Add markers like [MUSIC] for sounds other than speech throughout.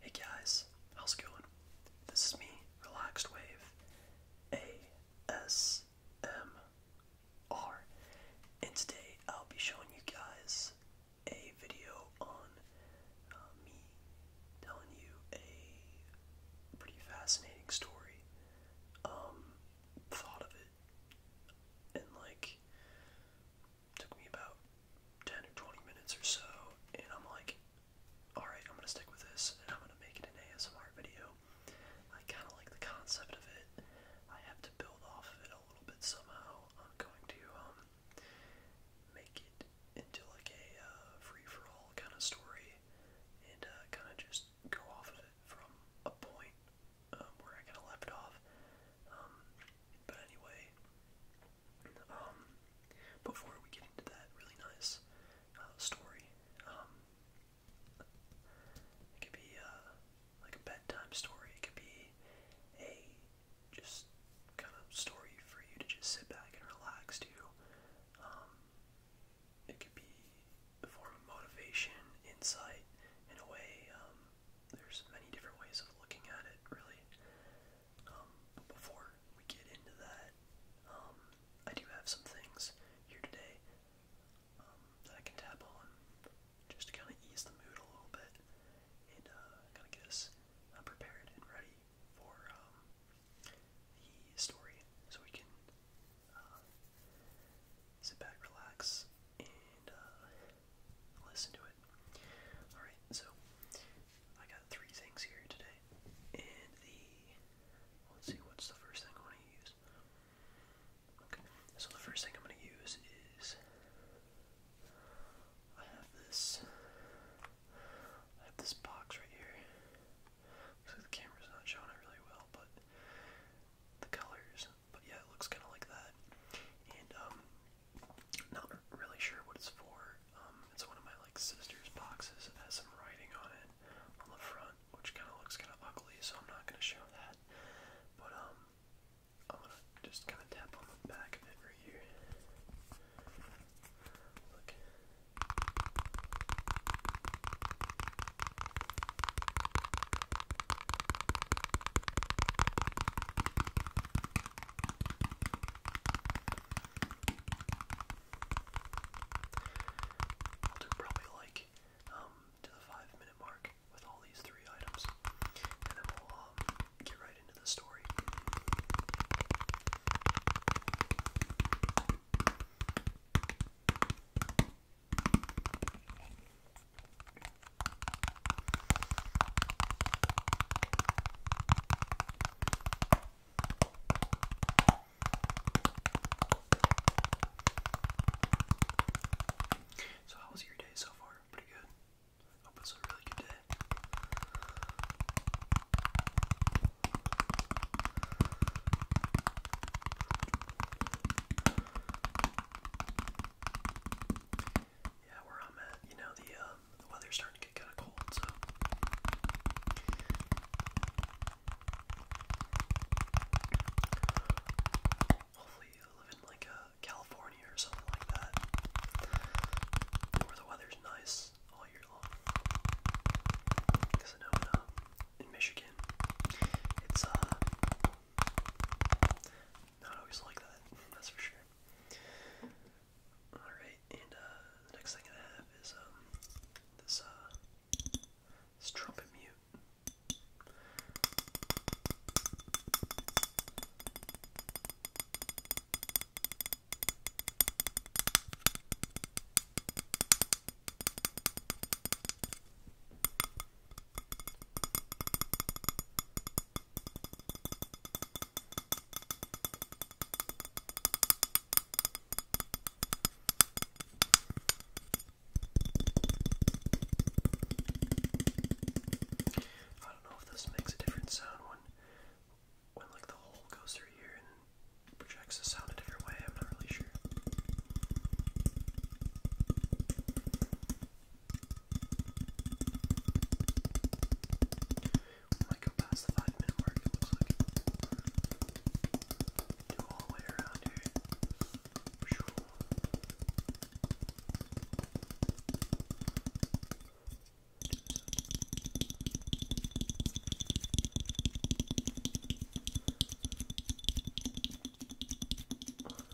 Hey guys, how's it going? This is me, Relaxed Wave, ASMR, and today I'll be showing you guys a video on uh, me telling you a pretty fascinating story. Um, thought of it, and like Took me about 10 or 20 minutes or so, and I'm like, alright, I'm gonna stick with this, and I'm gonna make it an ASMR video. I kind of like the concept of it. I have to build off of it a little bit somehow. I'm going to um, make it into like a uh, free-for-all kind of story, and uh, kind of just go off of it from a point um, where I kind of left off. Um, but anyway, um, before we get into that really nice uh, story, um, it could be uh, like a bedtime story. It could be a just kind of story for you to just sit back and relax to. Um, it could be a form of motivation, insight, in a way. Um, there's many different ways of looking at it, really. Um, before we get into that, um, I do have some things here today um, that I can tap on just to kind of ease the mood a little bit and uh, kind of get us uh, prepared and ready for the story so we can uh, sit back, relax, and listen to it. Alright, so I got three things here today. And the let's see what's the first thing I want to use. Okay, so the first thing I'm gonna use is I have this I have this box right here. Looks the camera's not showing it really well, but the colors, but yeah, it looks kind of like that. And um, not really sure what it's for. Um, it's one of my like sister's boxes. It has some writing on it on the front, which kind of looks kind of ugly, so I'm not gonna show that. But um, I'm gonna just kind of tap on the back of it right here. Look. I'll do probably like um, to the five minute mark with all these three items, and then we'll um, get right into the story. So, how was your day so far? Pretty good. Hope it's a really good day yeah, where I'm at, you know, the, um, the weather's starting to get kind of cold, so. Hopefully you live in, like, uh, California or something like that, where the weather's nice all year long. Because I know uh, in, Michigan, it's, uh, not always like that, that's for sure there. Alright, and uh, the next thing I have is um, this, uh, this trumpet mute. I don't know if this makes a different sound when when like the hole goes through here and projects the sound a different way, I'm not really sure. We might go past the five minute mark, it looks like. Do all the way around here.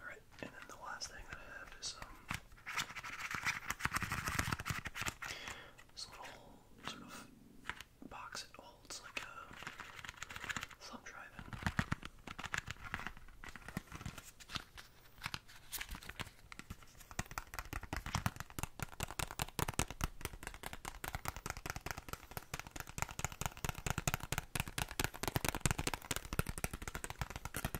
Alright, and then the last thing that I have is um this little sort of box it holds like a thumb drive in.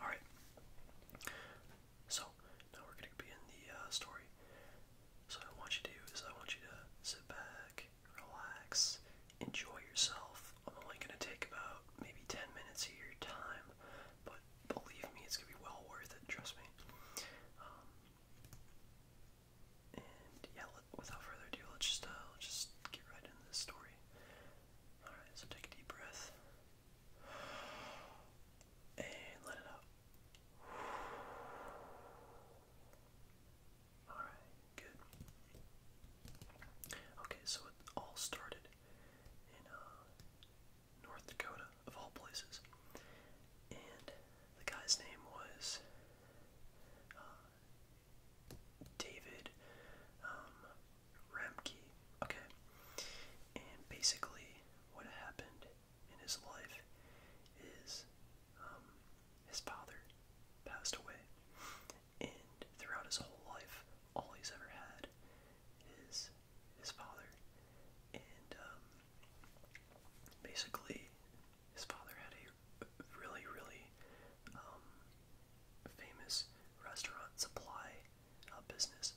All right. So now we're going to be in the uh, story. So what I want you to do is I want you to sit back, relax, enjoy yourself. I'm only gonna take about maybe 10 minutes of your time, but believe me, it's gonna be well worth it, trust me. Um, and yeah, without further ado, let's just, uh, get right into this story. Alright, so take a deep breath. And let it out. Alright, Good. Okay, so it all started in uh, North Dakota, of all places. And the guy's name was uh, David um, Okay. And basically, what happened in his life is um, his father passed away, and throughout his whole life, all he's ever had is his father. And um, basically, his father had a really, really um, famous restaurant supply uh, business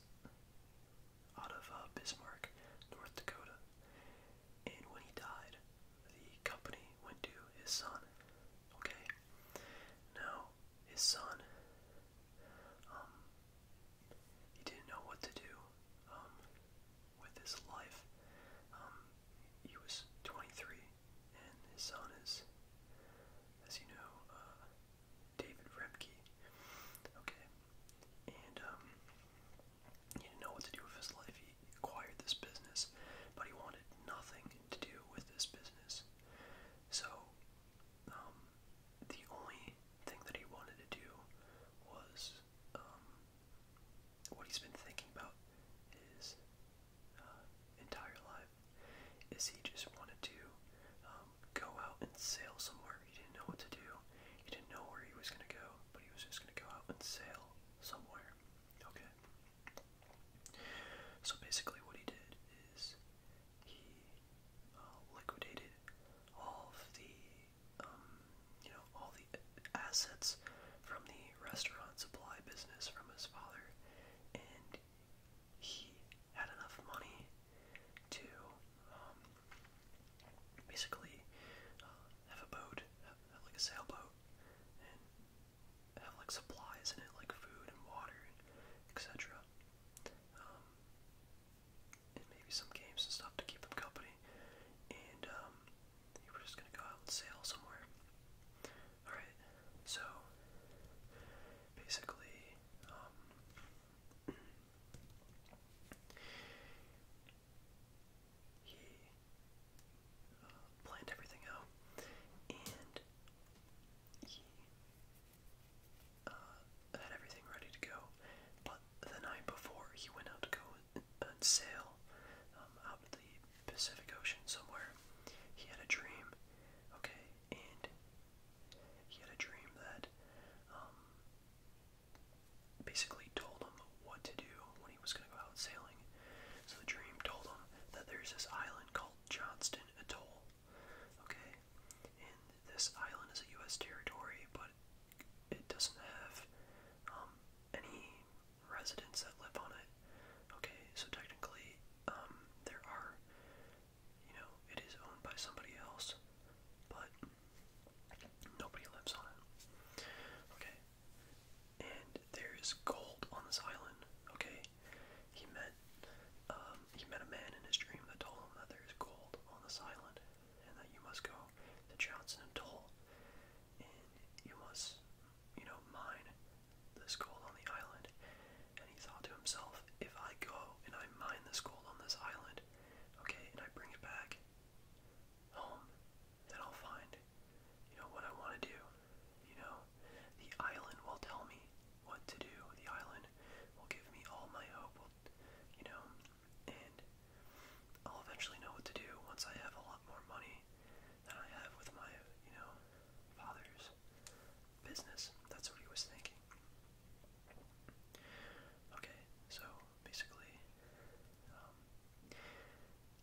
out of uh, Bismarck, North Dakota. And when he died, the company went to his son. Okay, now, his son, um, he didn't know what to do, um, with his life. Um, he was 23, and his son is, as you know, uh, David Remke. Okay, and, he didn't know what to do with his life. He acquired this business, but he wanted nothing to do with this business. So, um, the only thing that he wanted to do was, um, what he's been thinking about his uh, entire life is he just wanted to um, go out and sail somewhere. He didn't know what to do, he didn't know where he was going to go, but he was just going to go out and sail somewhere. Okay. So basically, what he did is he uh, liquidated all of the, um, you know, all the assets from the restaurant supply business from his father, and he had enough money to um, basically uh, have a boat, like a sailboat, have like supplies in it, like food and water and etc. Um, and maybe some games and stuff to keep them company. And um, they were just gonna go out and sail somewhere. All right, so basically, um, he uh, everything out, and uh, had everything ready to go. But the night before, he went out to go sail um, out to the Pacific Ocean somewhere. He had a dream, okay, and he had a dream that um, basically told him what to do when he was going to go out sailing so the dream told him that there's this island called Johnston Atoll. Okay? And this island is a U.S. territory, but it doesn't have um, any residents that live on it. Okay, so technically, um, there are, you know, it is owned by somebody else, but nobody lives on it. Okay, and there is gold on this island. Okay, he met um, he met a man in his dream that told him that there is gold on this island, and that you must go to Johnson and Toll, and you must you know mine this gold on the island. And he thought to himself, if I go and I mine this gold on this island, okay, and I bring it back home, then I'll find you know, what I want to do. You know, the island will tell me what to do. The island will give me all my hope, will, you know, and I'll eventually know what to do once I have a lot more money than I have with my, you know, father's business. That's what he was thinking. Okay, so basically, um,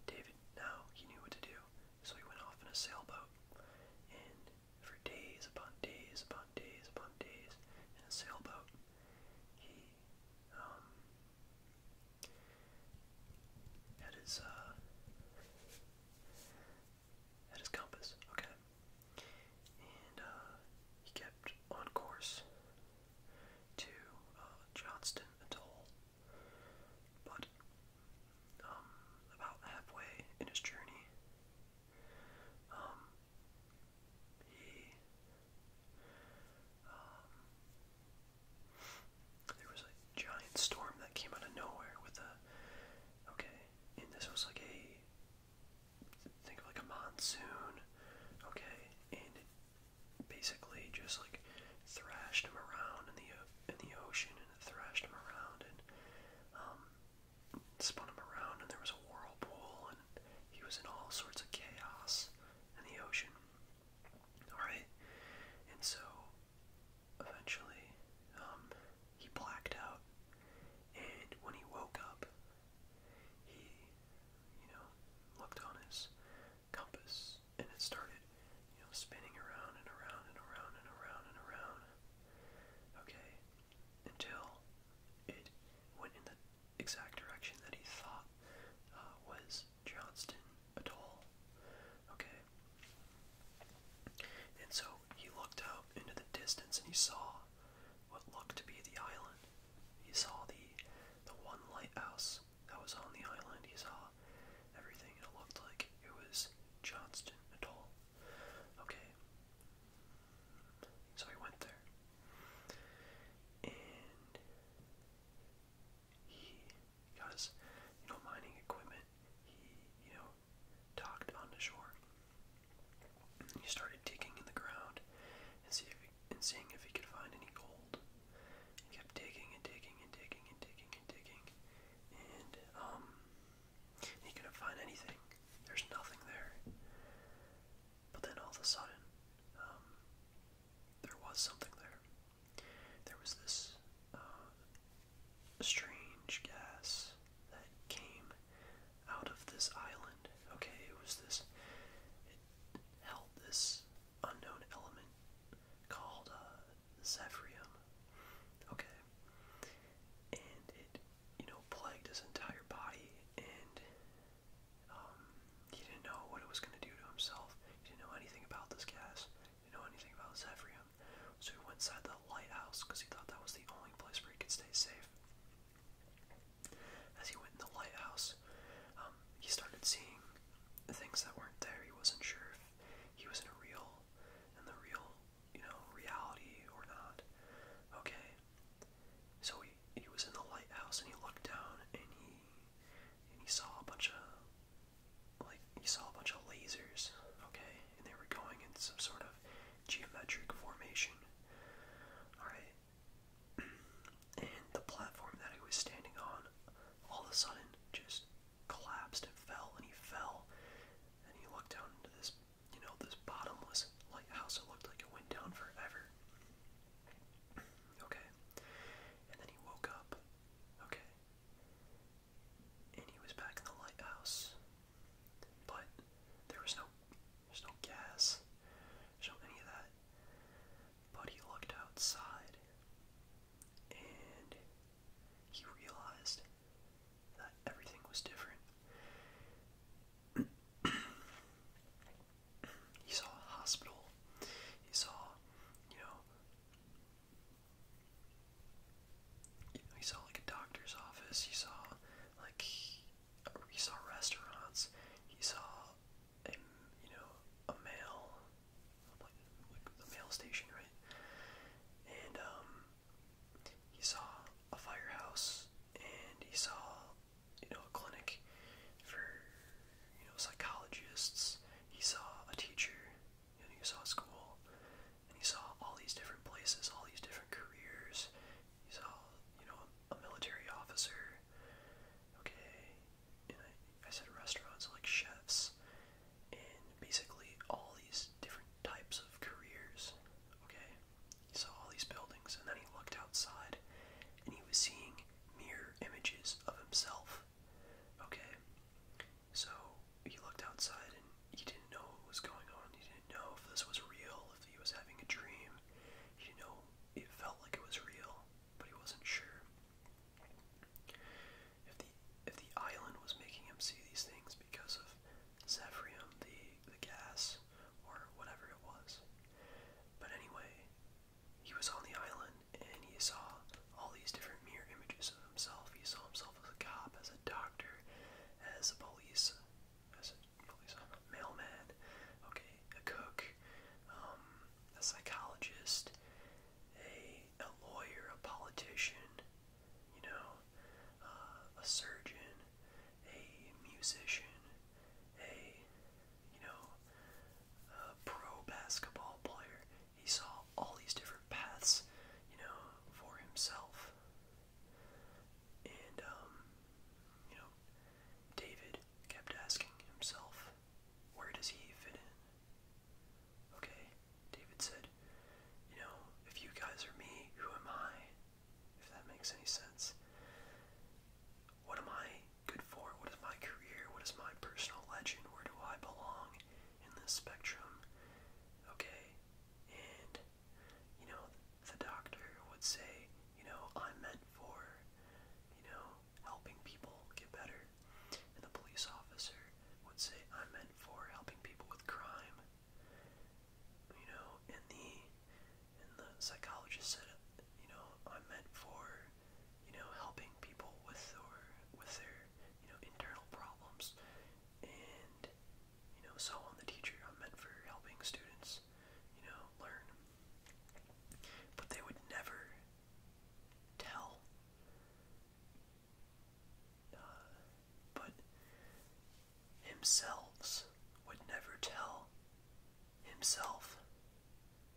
David now he knew what to do, so he went off in a sailboat, and for days upon days upon days upon days in a sailboat, he um, had his uh, had his compass, okay, and uh, he kept on course to uh, Johnston Atoll. But um, about halfway in his journey, um, um, there was a giant storm that came out of nowhere with a okay, and this was like a think like a monsoon, okay, and basically just like thrashed him around in the in the ocean and it thrashed him around and um, spun him around and there was a whirlpool and he was in all sorts of chaos in the ocean. Alright? And so eventually um, he blacked out and when he woke up, he, you know, looked on his compass, and it started, you know, spinning around and around and around and around and around. Okay, until it went in the exact direction that he thought uh, was Johnston Atoll. Okay, and so he looked out into the distance and he saw what looked to be the island. He saw the the one lighthouse that was on the island. He saw everything, it looked like it was Johnston Atoll. Okay. So he went there. And he got his, mining equipment. He, you know, docked on the shore. And he started digging in the ground and seeing if he could find any gold and kept digging and digging and digging and digging and digging, and um, he couldn't find anything. There's nothing there. But then all of a sudden, um, there was something there. There was this uh, strange gas that came out of this island. Okay, it was this. It held this unknown element called uh, Okay. And it, you know, plagued his entire body, and um, he didn't know what it was going to do to himself. He didn't know anything about this gas. didn't know anything about Zephyrium. So he went inside the lighthouse because he thought that was the only place where he could stay safe. As he went in the lighthouse, um, um, he started seeing things that weren't there. He wasn't sure if he was in a real, in the real, you know, reality or not. Okay, so he he was in the lighthouse and he looked down and he and he saw a bunch of like he saw a bunch of lasers. Okay, and they were going in some sort of geometric formation. All right. [CLEARS THROAT] And the platform that he was standing on all of a sudden just collapsed and fell and he fell and he looked down into this you know this bottomless lighthouse it looked like it went down forever okay and then he woke up okay and he was back in the lighthouse but there was no there's no gas there's no any of that but he looked outside and he realized that everything was different. [CLEARS THROAT] he saw a hospital, he saw, you know, he saw like a doctor's office, he saw like he saw restaurants, he saw a you know a male like, like the mail station, right? And um, he saw a firehouse, and he saw, you know, a clinic for, you know, psychologists. He saw a teacher, and he saw a school, and he saw all these different places, all these different careers. He saw, you know, a military officer, Okay, and I, I said restaurants like chefs, and basically all these different types of careers. Okay, he saw all these buildings, and then he looked outside, and he was seeing mirror images of himself. Okay, so he looked outside, and he didn't know what was going on. He didn't know if this was real, if he was having a dream. He didn't know. It felt like it was real, but he wasn't sure. If the if the island was making him see these things because of Zephyrium, the the gas, or whatever it was. But anyway, he was on the island and he saw all these different mirror images of himself. He saw himself as a cop, as a doctor, as a police, as a police uh, mailman, okay, a cook, um, a psychologist, a, lawyer, a politician, you know, uh, a surgeon, a musician, a, you know, a pro basketball player. He saw all these different paths, you know, for himself. And, um, you know, David kept asking himself, where does he fit in? Okay, David said, You know, if you guys are me, who am I? If that makes any sense. What am I good for? What is my career? What is my personal legend? Where do I belong in this spectrum? Okay, and, you know, the doctor would say, You know, I'm meant for, you know, helping people get better. And the police officer would say, I'm meant for helping people with crime. You know, and the and the psychologist said, you know, I'm meant for, you know, helping people with or with their, you know, internal problems. And you know, so on the teacher, I'm meant for helping students, you know, learn. But they would never tell. Uh, but himself would never tell himself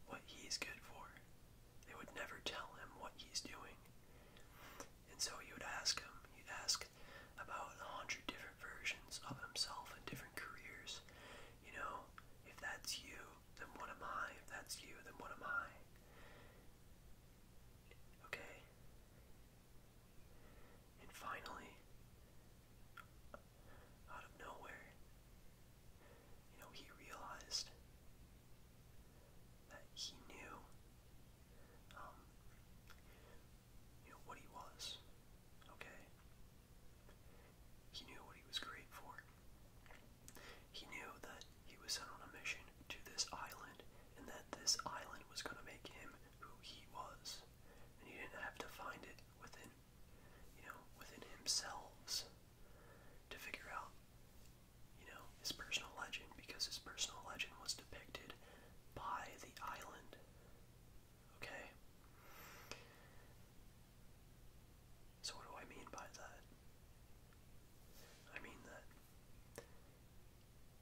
what he's good for. They would never tell him what he's doing. And so he would ask him, he'd ask about a hundred different versions of himself and different careers. You know, if that's you, then what am I? If that's you, then what am I? Okay? And finally, out of nowhere, you know, he realized that he knew um, you know what he was, okay? He knew what he was great for. He knew that he was sent on a mission to this island and that this island was going to make him who he was. And he didn't have to find it within, you know, within himself to figure out, you know, his personal legend because his personal legend was depicted by the island. Okay? So, what do I mean by that? I mean that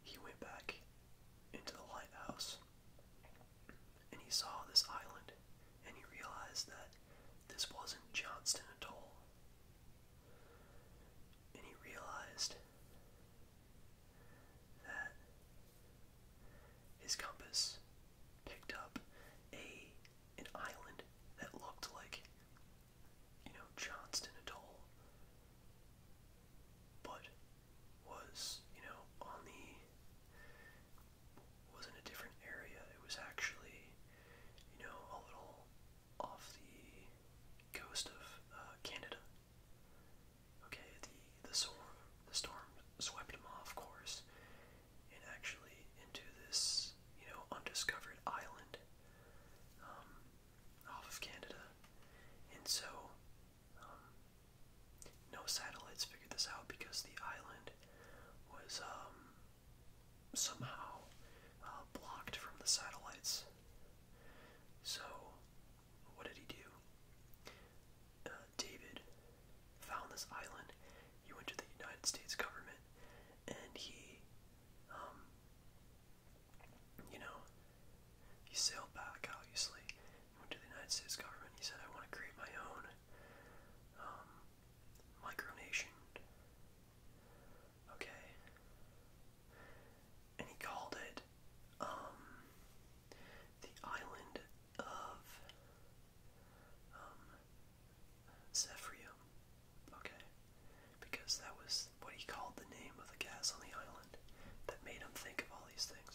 he went back into the lighthouse and he saw this island and he realized that this wasn't Johnston at all. And he realized that his compass picked up a an island that looked like, you know, Johnston Atoll, but was, you know, on the was in a different area. It was actually, you know, a little off the coast of uh, Canada. Okay, the the storm the storm swept him off course, and actually into this, you know, undiscovered island um, off of Canada. And so, um, no satellites figured this out because the island was um, somehow uh, blocked from the satellites. So, what did he do? Uh, David found this island. He went to the United States government, and he, um, you know, he sailed back. Obviously, he went to the United States government. He said, "I want to create my own um, micronation." Okay, and he called it um, the island of um, Zephyrium, okay, because that was what he called the name of the gas on the island that made him think of all these things,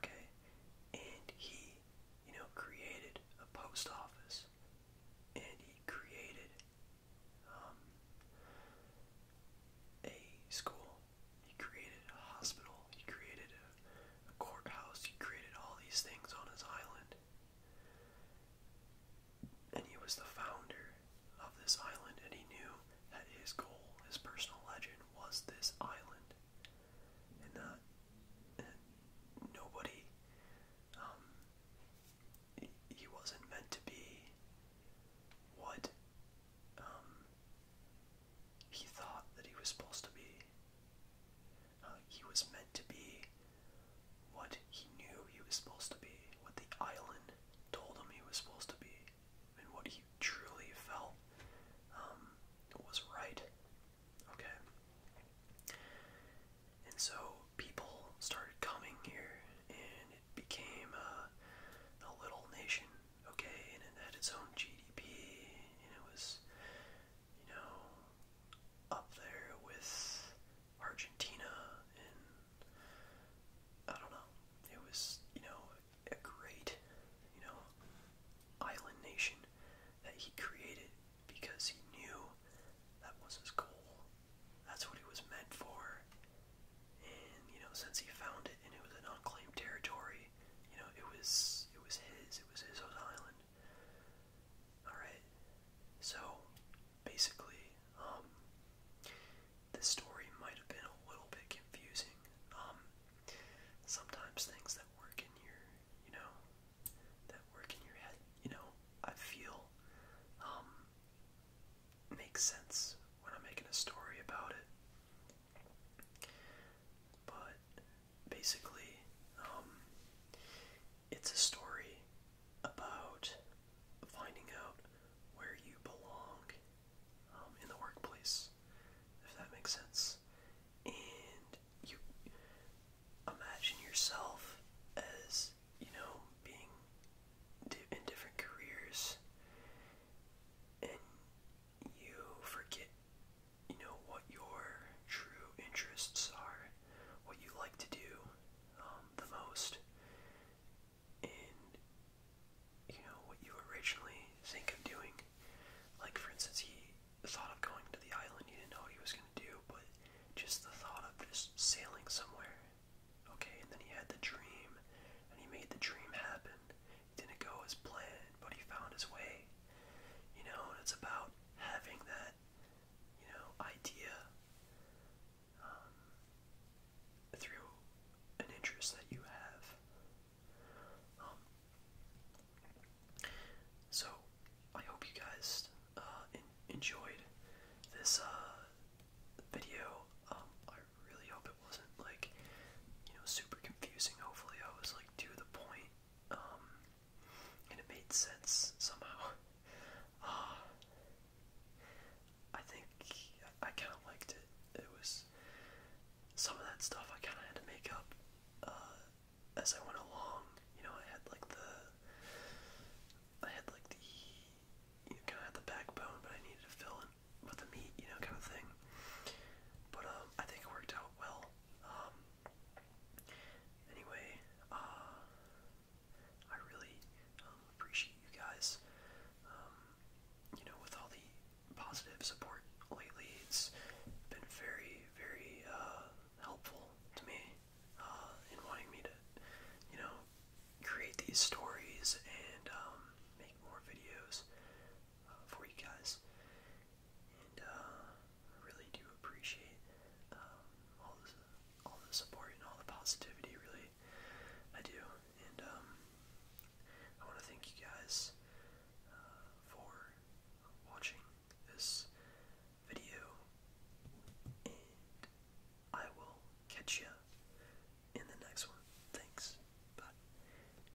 okay, and he, you know, created a post office, and he created, um, a school, he created a hospital, he created a a courthouse. He created all these things on his island. And he was the founder of this island, and he knew that his goal, his personal legend, was this island. And that uh, nobody, um, he, wasn't meant to be what um, he thought that he was supposed to be. Uh, he was meant to be what he knew he was supposed to be, what the island told him he was supposed to be, and what he truly felt um, was right. Okay? And so people started coming here, and it became a little nation, okay? And it had its own GDP, and it was you know, up there with Argentina and I don't know. It was, you know, a great, you know, island nation that he created because he knew that was his goal. That's what he was meant for. And, you know, since he found it and it was an unclaimed territory, you know, it was it was his. It was his own island. Alright. So basically, um, this story might have been a little bit confusing. Um, sometimes things that work in your you know that work in your head, you know, I feel um, makes sense when I'm making a story about it. But basically, um, it's a story about finding out where you belong um, in the workplace, if that makes sense. And you imagine yourself as, you know, being in different careers, and you forget you know what your true interests are, what you like to do um, the most, and you know what you originally think of doing. Like for instance, he thought of going to the island. He didn't know what he was going to do, but just the thought of just sailing somewhere. Okay, and then he had the dream, and he made the dream happen didn't go as planned, but he found his way. You know, it's about having that, you know, idea um, through an interest that you have. Um, so, I hope you guys uh, enjoyed this uh, video. Um, I really hope it wasn't like, you know, super confusing. Hopefully, I was like to the point, um, and it made sense somehow. Uh, [LAUGHS] I think I kind of liked it. It was some of that stuff I kind of had to make up uh, as I went along. You know, I had like the, I had like the, you know, kind of had the backbone, but I needed to fill in with the meat, you know, kind of thing. But um, I think it worked out well. Um, anyway, uh, I really um, appreciate you guys. Um, you know, with all the positive support lately, it's been very, very uh, helpful to me uh, in wanting me to, you know, create these stories and um, make more videos for you guys and uh, I really do appreciate um, all the support and all the positivity. Really, I do, and um, I want to thank you guys uh, for watching this video, I will catch you in the next one. Thanks. Bye.